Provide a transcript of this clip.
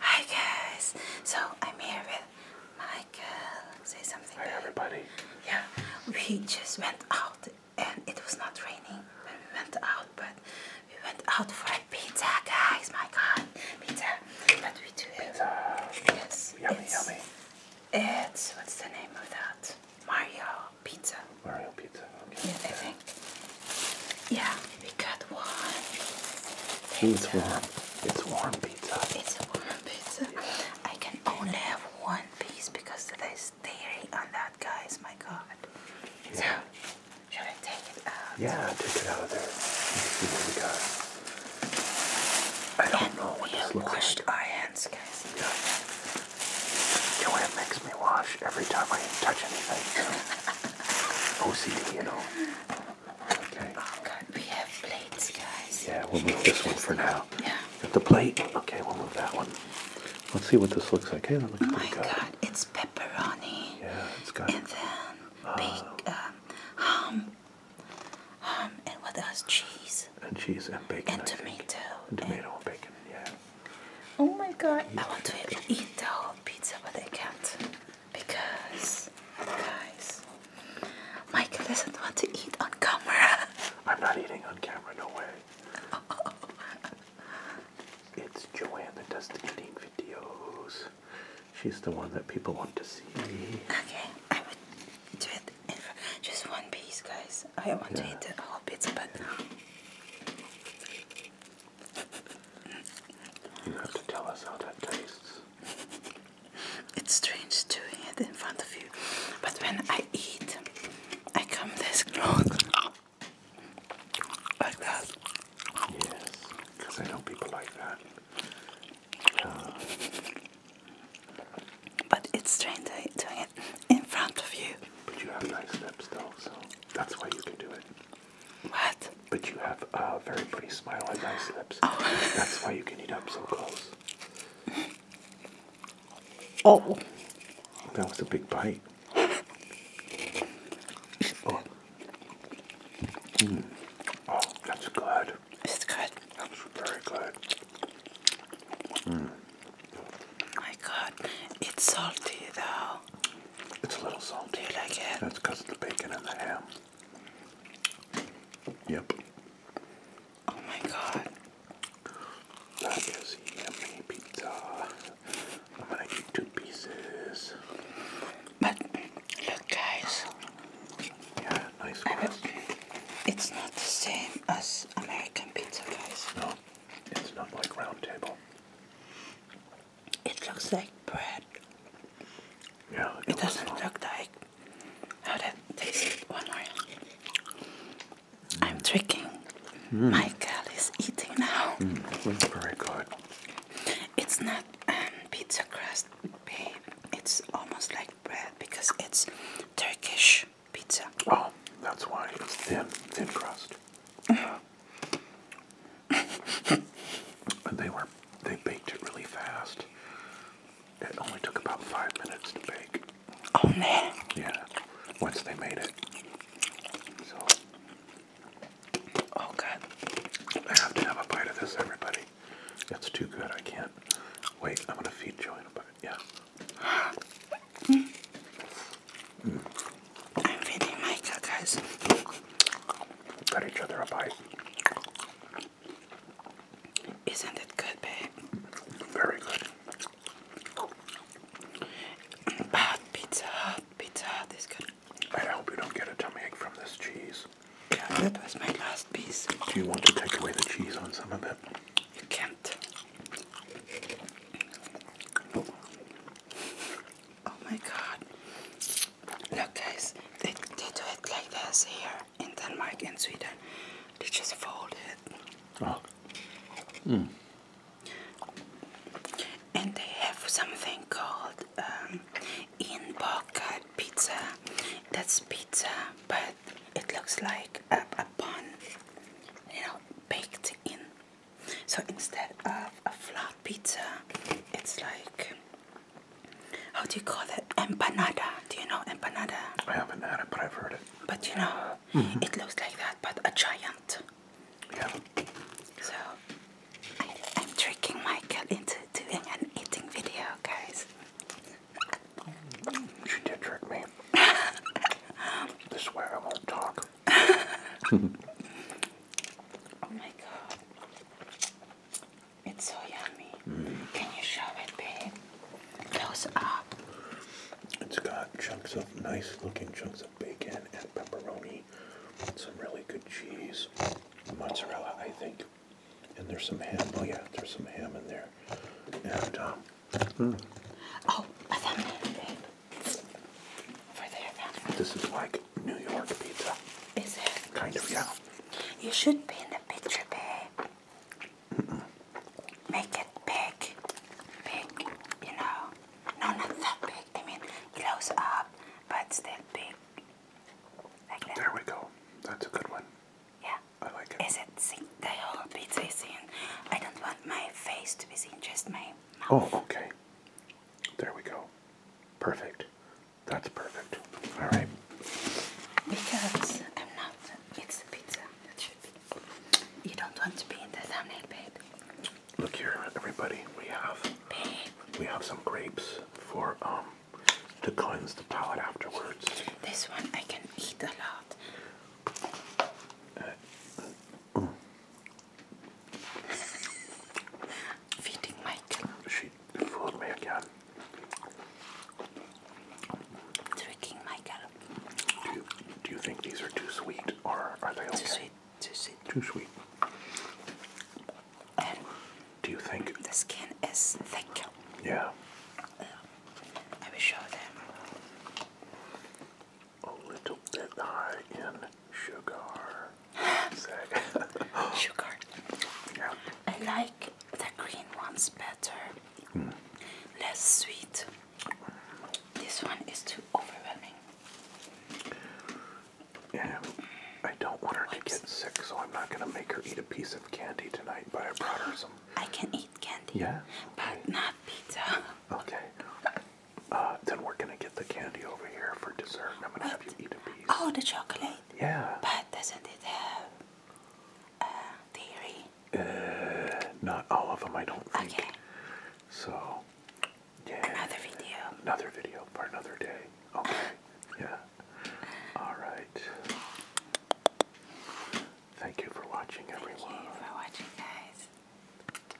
Hi guys, so I'm here with Michael. Say something. Hi babe. everybody. Yeah, we just went out and it was not raining when we went out, but we went out for a pizza, guys. My God, pizza. But we do it. Pizza. Yes. Yummy, it's, yummy. It's what's the name of that? Mario pizza. Mario pizza. Okay. Yeah, yeah, we got one. Pizza. It's warm. It's warm pizza. It's a warm pizza. I can only have one piece because they're staring on that guys, my god. Yeah. So, should I take it out? Yeah, take it out of there. see what we got. I don't know what we this washed like. our hands, guys. Yeah. You it makes me wash every time I touch anything. OCD, you know. Okay. Oh God, we have plates, guys. Yeah, we'll move this one for now. Yeah. Got the plate. Okay, we'll move that one. Let's see what this looks like. Hey, that looks oh pretty good. Oh my God, it's pepperoni. Yeah, it's got. And then uh, big um, ham, ham, and what else? Cheese. And cheese and bacon. And tomato. And tomato and, and bacon. Yeah. Oh my God, I want to eat the whole pizza, but I can't because, guys, Michael doesn't want to eat on camera. I'm not eating on camera, no way. It's Joanne that does the eating videos. She's the one that people want to see. Okay, I would do it in just one piece, guys. I want to eat the whole pizza, but. You have to tell us how that tastes. It's strange doing it in front of you, but when I eat, I come this close Like that. Yes, because I know people like that. But it's strange doing it in front of you. But you have nice lips though, so that's why you can do it. What? But you have a very pretty smile on nice lips. Oh. That's why you can eat up so close. Oh. That was a big bite. Oh. Mm. oh, that's good. It's good. That's very good. Mm. My God, it's salty though. It's a little salty. That's because of the bacon and the ham. Yep. Oh my god. That is yummy pizza. I'm gonna eat two pieces. But look, guys. Yeah, nice It's not the same as American pizza, guys. No, it's not like round table. It looks like bread. Yeah. It, doesn't look like I'm tricking. Michael hmm. is eating now. Hmm, it's very good. It's not um, pizza crust, babe. It's almost like bread because it's Turkish pizza. Oh, that's why it's thin, thin crust. Mm-hmm. But they were they baked it really fast. It only took about five minutes to bake. Oh man. Yeah. Once they made it. So Oh god. I have to have a bite of this everybody. It's too good. I can't wait. I'm gonna feed Joanna a bite. Yeah. Hmm. Mm. I'm feeding Micah, guys. Cut each other a bite. Isn't it good, babe? Very good. But Pizza Hut, Pizza Hut is good. I hope you don't get a tummy ache from this cheese. Yeah, that was my last piece. Do you want to take away the cheese on some of it? You can't. Oh my god. Look guys, they, they do it like this here in Denmark and Sweden. They just fold it. Oh. Mm. And they have something called um, inbakad pizza. That's pizza, but it looks like a, a bun, you know, baked in. So instead of a flat pizza, it's like how do you call it? Empanada. Do you know empanada? I haven't had it, but I've heard it. But you know, mm-hmm. it looks like that, but a giant. Yeah. So I, am tricking Michael into doing an eating video, guys. She did trick me. this way I won't talk oh my god. It's so yummy. Can you show it, babe? Close up. It's got chunks of nice looking chunks of bacon and pepperoni. Some really good cheese. Mozzarella, I think. And there's some ham. Oh yeah, there's some ham in there. And um, Oh, I found it, babe. This is like New York pizza. Is it? Kind of, yeah. You should be in the picture, babe. Mm -mm. Make it big. Big, you know. No, not that big. I mean, close up, but still big. There we go. That's a good one. Yeah. I like it. Is it seen? The whole pizza is seen. I don't want my face to be seen, just my oh, mouth. Oh, okay. There we go. Perfect. That's perfect. All right. Because I'm not. It's the pizza. That should be. You don't want to be in the thumbnail, babe. Look here, everybody. We have. Babe. We have some grapes for um to cleanse the palate afterwards. This one I can eat a lot. Uh, Feeding Michael. She fooled me again. Tricking Michael. Do you, think these are too sweet or are they okay? Too sweet. Too sweet. Too sweet. Er. do you think the skin is thick? Yeah. Uh, I show them a little bit high in sugar. sugar. Yeah. I like the green ones better. Hmm. Less sweet. This one is too overwhelming. And I don't want her to get sick, so I'm not going to make her eat a piece of candy tonight, but I brought her some. I can eat candy. Yeah? But not pizza. Okay. Uh, then we're gonna get the candy over here for dessert, I'm gonna have you eat a piece. Oh, the chocolate. Yeah. But doesn't it have uh, dairy? Uh, not all of them, I don't think. Okay. So, yeah. Another video. Another video for another day. Okay. yeah. All right. Thank you for watching, everyone. for watching, guys.